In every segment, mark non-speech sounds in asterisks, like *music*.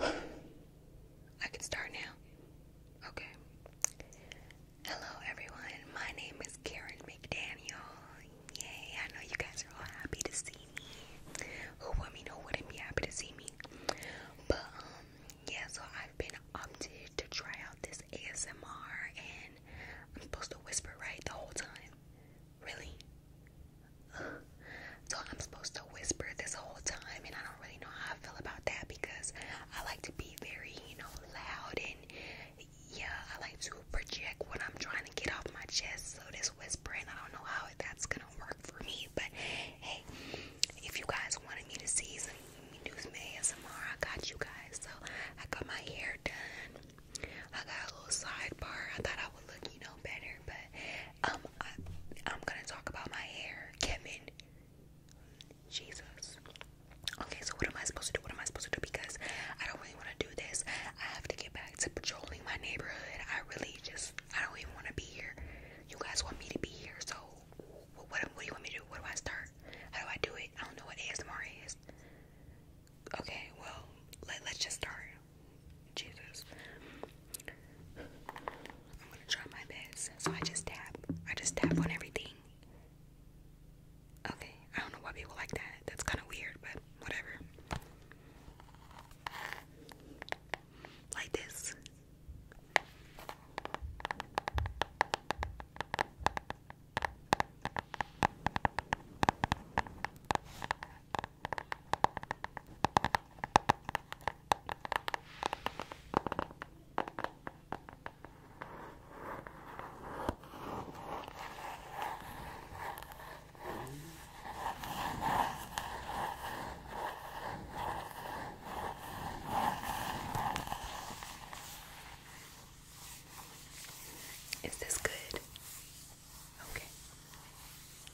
I can start now. Okay. Hello, everyone. My name is Karen McDaniel. Yay! I know you guys are all happy to see me. Who, wouldn't be happy to see me? But um, yeah. So I've been opted to try out this ASMR, and I'm supposed to whisper right the whole time. Really? So I'm supposed to whisper this whole time, and I don't really know how I feel about that because I like to be very, you know, loud and yeah, I like to project what I'm trying to get off my chest. So this whispering, I don't know how that's gonna work for me, but hey, if you guys wanted me to see some me do some ASMR, I got you guys. So I got my hair done. I got a little sidebar. I thought I would look, you know, better but um, I, am gonna talk about my hair, Kevin. Jesus. Okay, so what am I supposed to do? What am I supposed to do? Because I don't really want to do this. I have to get back to patrolling my neighborhood. I really just, I don't even want to be here. You guys want me to be here, so what, do you want me to do? What do I start? How do I do it? I don't know what ASMR is. Okay, well, let, let's just start. Jesus. I'm gonna try my best. So I just tap. I just tap on everything. Okay, I don't know why people like that. That's kind of weird, but whatever. Like this. Is this good? Okay.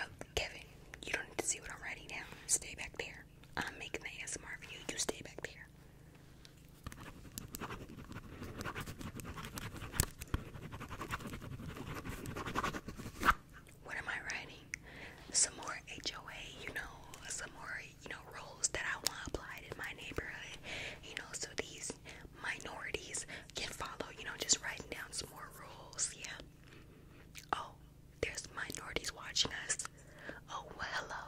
Oh, Kevin, you don't need to see what I'm writing down. Stay back there. I'm making the ASMR you. You stay back there. What am I writing? Some more HOA, you know, some more, you know, rules that I want applied in my neighborhood, you know, so these minorities can follow, you know, just writing down some more rules, yeah. Oh, there's minorities watching us. Oh, well, hello.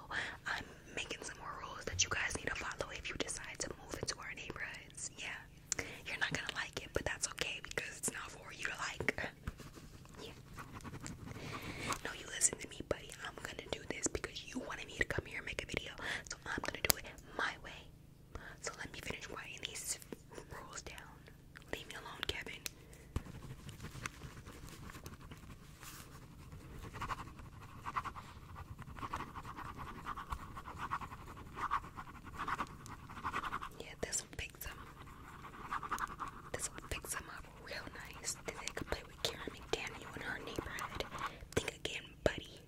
I'm making some more rules that you guys need to follow if you decide to move into our neighborhoods, yeah. You're not gonna like it, but that's okay because it's not for you to like. *laughs* No, you listen to me, buddy. I'm gonna do this because you wanted me to come here and make a video, so I'm gonna do it my way. So let me finish writing these rules down. Leave me alone, Kevin. Yeah, this will fix them. This will fix them up real nice. Then can play with Karen McDaniel in her neighborhood. Think again, buddy.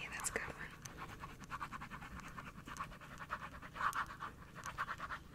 Yeah, that's good one.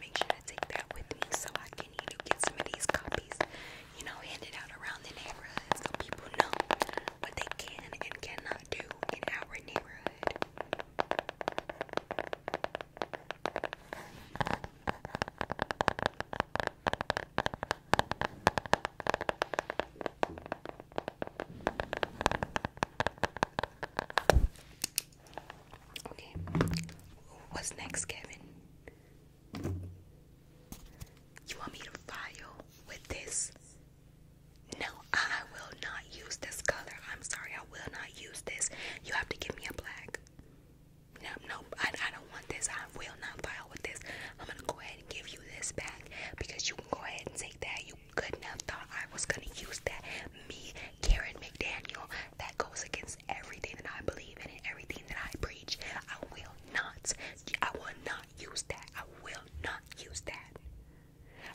Make sure I take that with me so I can you know, get some of these copies, you know, handed out around the neighborhood so people know what they can and cannot do in our neighborhood. Okay. What's next, Kevin? You want me to file with this? No, I will not use this color. I'm sorry, I will not use this. You have to give me a black. No, no, I, don't want this. I will not file with this. I'm gonna go ahead and give you this back because you can go ahead and take that. You couldn't have thought I was gonna use that. Me Karen McDaniel. That goes against everything that I believe in and everything that I preach. I will not. I will not use that. I will not use that.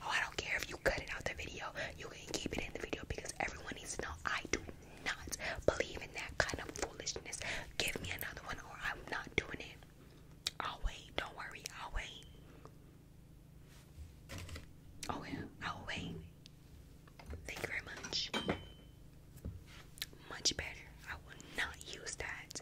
Oh, I don't care if you cut it out the video. You can keep it in the video because everyone needs to know I do not believe in that kind of foolishness. Give me another one or I'm not doing it. I'll wait. Don't worry. I'll wait. Oh, yeah. I'll wait. Thank you very much. Much better. I will not use that.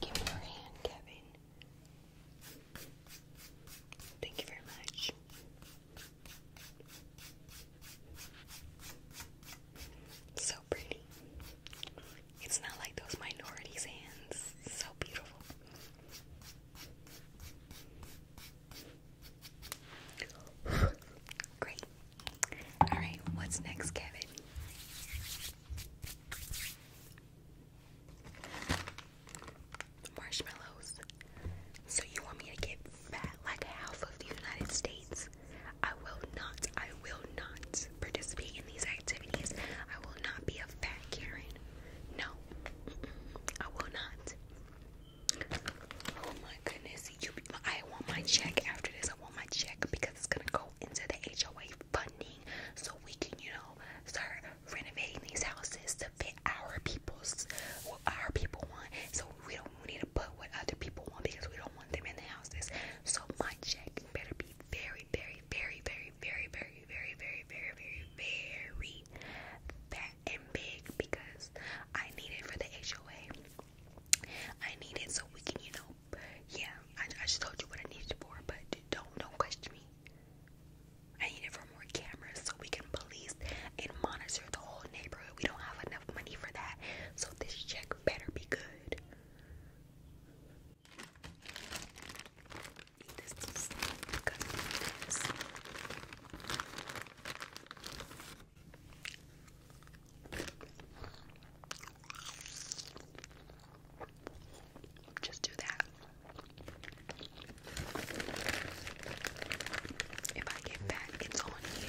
Give me your hand, Kevin. Thank you very much. So pretty. It's not like those minorities' hands. So beautiful. *laughs* Great. All right, what's next, Kevin? Marshmallows. So you want me to get fat like half of the United States? I will not. I will not participate in these activities. I will not be a fat Karen. No, I will not. Oh my goodness, see you. I want my check after this. I want my check because it's gonna go into the HOA funding so we can, you know, start renovating these houses to fit our people's what our people want. So we don't we need to put what other people want because we don't want them in the houses. So my check better be very, very, very, very, very, very, very, very, very, very, very fat and big because I need it for the HOA. I need it so we can, you know, yeah, I, just told you what I need it for, but don't, don't question me. I need it for more cameras so we can police and monitor the whole neighborhood. We don't have enough money for that, so this check better be good. Just do that. If I get back, it's on you.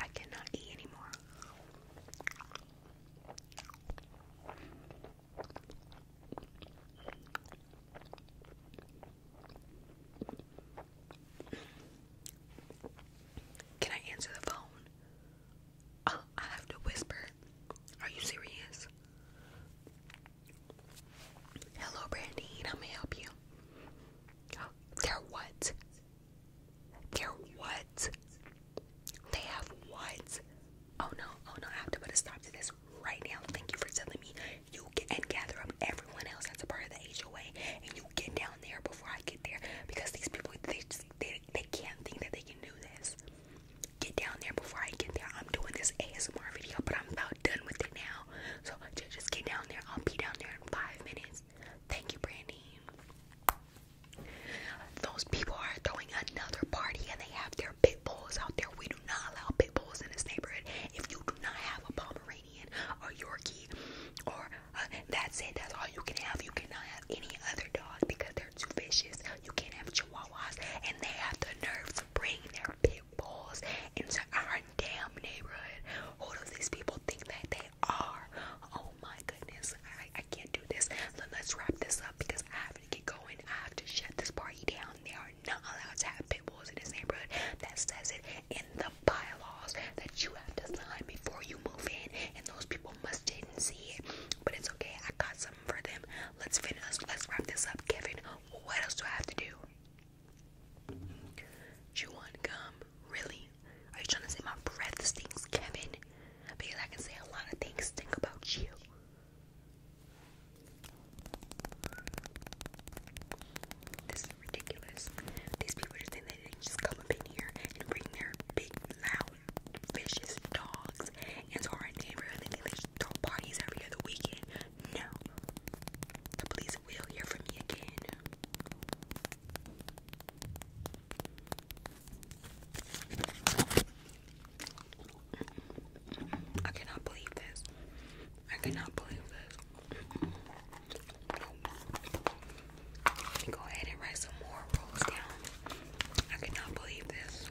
I cannot eat anymore. Can I answer the phone? Uh, I have to whisper. Are you serious? Hello, Brandine. How may I help you? they're what? They're what? They have what? Oh no, oh no, I have to put a stop to this right now. Thank you for telling me. You get and gather up everyone else that's a part of the HOA and you get down there before I get there because these people they just, they, they can't think that they can do this. Get down there before I get there. I'm doing this ASMR video, but I'm about done with it now. So just get down there. I'll be down there in five minutes. Thank you, Brandy. Those people are throwing another party and they have their pit bulls out there. We do not allow pit bulls in this neighborhood. If you do not have a Pomeranian or Yorkie or uh, that's it, that's all you can have. You cannot have any other dog because they're too vicious. You can't have chihuahuas and they have the nerve to bring their pit bulls into our damn neighborhood. Who do these people think that they are? Oh my goodness. I, can't do this. Let's wrap this up because I have to get going. I have to shut this party down. They are not allowed to have pit bulls in this neighborhood. That says it in the bylaws that you have to sign before you move in, and those people must didn't see it. But it's okay. I got something for them. Let's finish. Let's wrap this up, Kevin. What else do I have to do? You want gum? Really? Are you trying to say my breath stinks, Kevin? Because I can say a lot of things stink about you. This is ridiculous. These people just think they just come up in here and bring their big, loud, vicious dogs into our neighborhood. They throw parties every other weekend. No. The police will hear from me again. I cannot believe this. I cannot believe this. go ahead and write some more rolls down. I cannot believe this.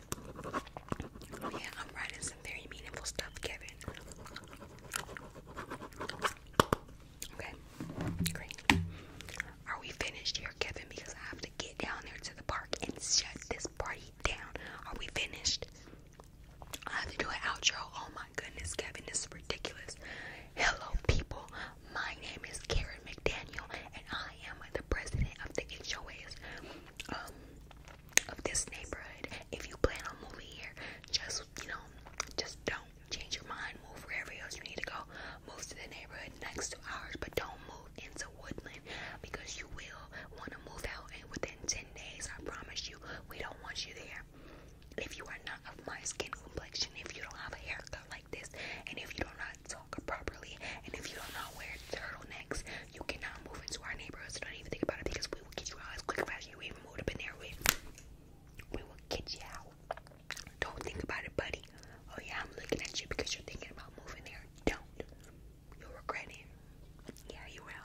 yeah, I'm writing some very meaningful stuff, Kevin. Okay, Are we finished here, Kevin? Because I have to get down there to the park and shut this party down. Are we finished? I have to do an outro. Oh my goodness, Kevin, this is ridiculous. Hello, people. My name is Carrie. Jared McDaniel, and I am the president of the HOAs um, of this neighborhood. If you plan on moving here, just you know, just don't change your mind. Move wherever else you need to go. Move to the neighborhood next to ours, but don't move into Woodland because you will want to move out. And within ten days, I promise you, we don't want you there. If you are not of my skin complexion, if you don't have a haircut like this, and if you do not talk properly. And if you don't know where turtlenecks, you cannot move into our neighborhood. So don't even think about it because we will get you out as quick as you even moved up in there. We, we will get you out. Don't think about it, buddy. Oh yeah, I'm looking at you because you're thinking about moving there. Don't. You'll regret it. Yeah, you will.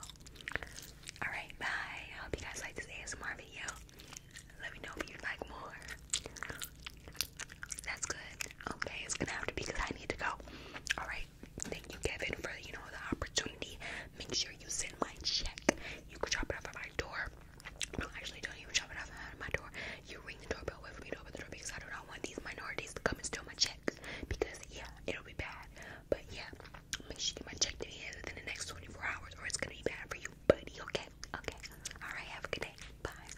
Alright, bye. I hope you guys like this ASMR video. Let me know if you'd like more. That's good. Okay, it's gonna have to be because I need to go. Alright, thank you, Kevin, for you know the opportunity. Make sure you send my check. You could drop it off at my door. No, actually, don't even drop it off at my door. You ring the doorbell, wait for me to open the door because I do not want these minorities to come and steal my checks. Because yeah, it'll be bad. But yeah, make sure you get my check to me within the next 24 hours, or it's gonna be bad for you, buddy. Okay, okay. All right, have a good day. Bye.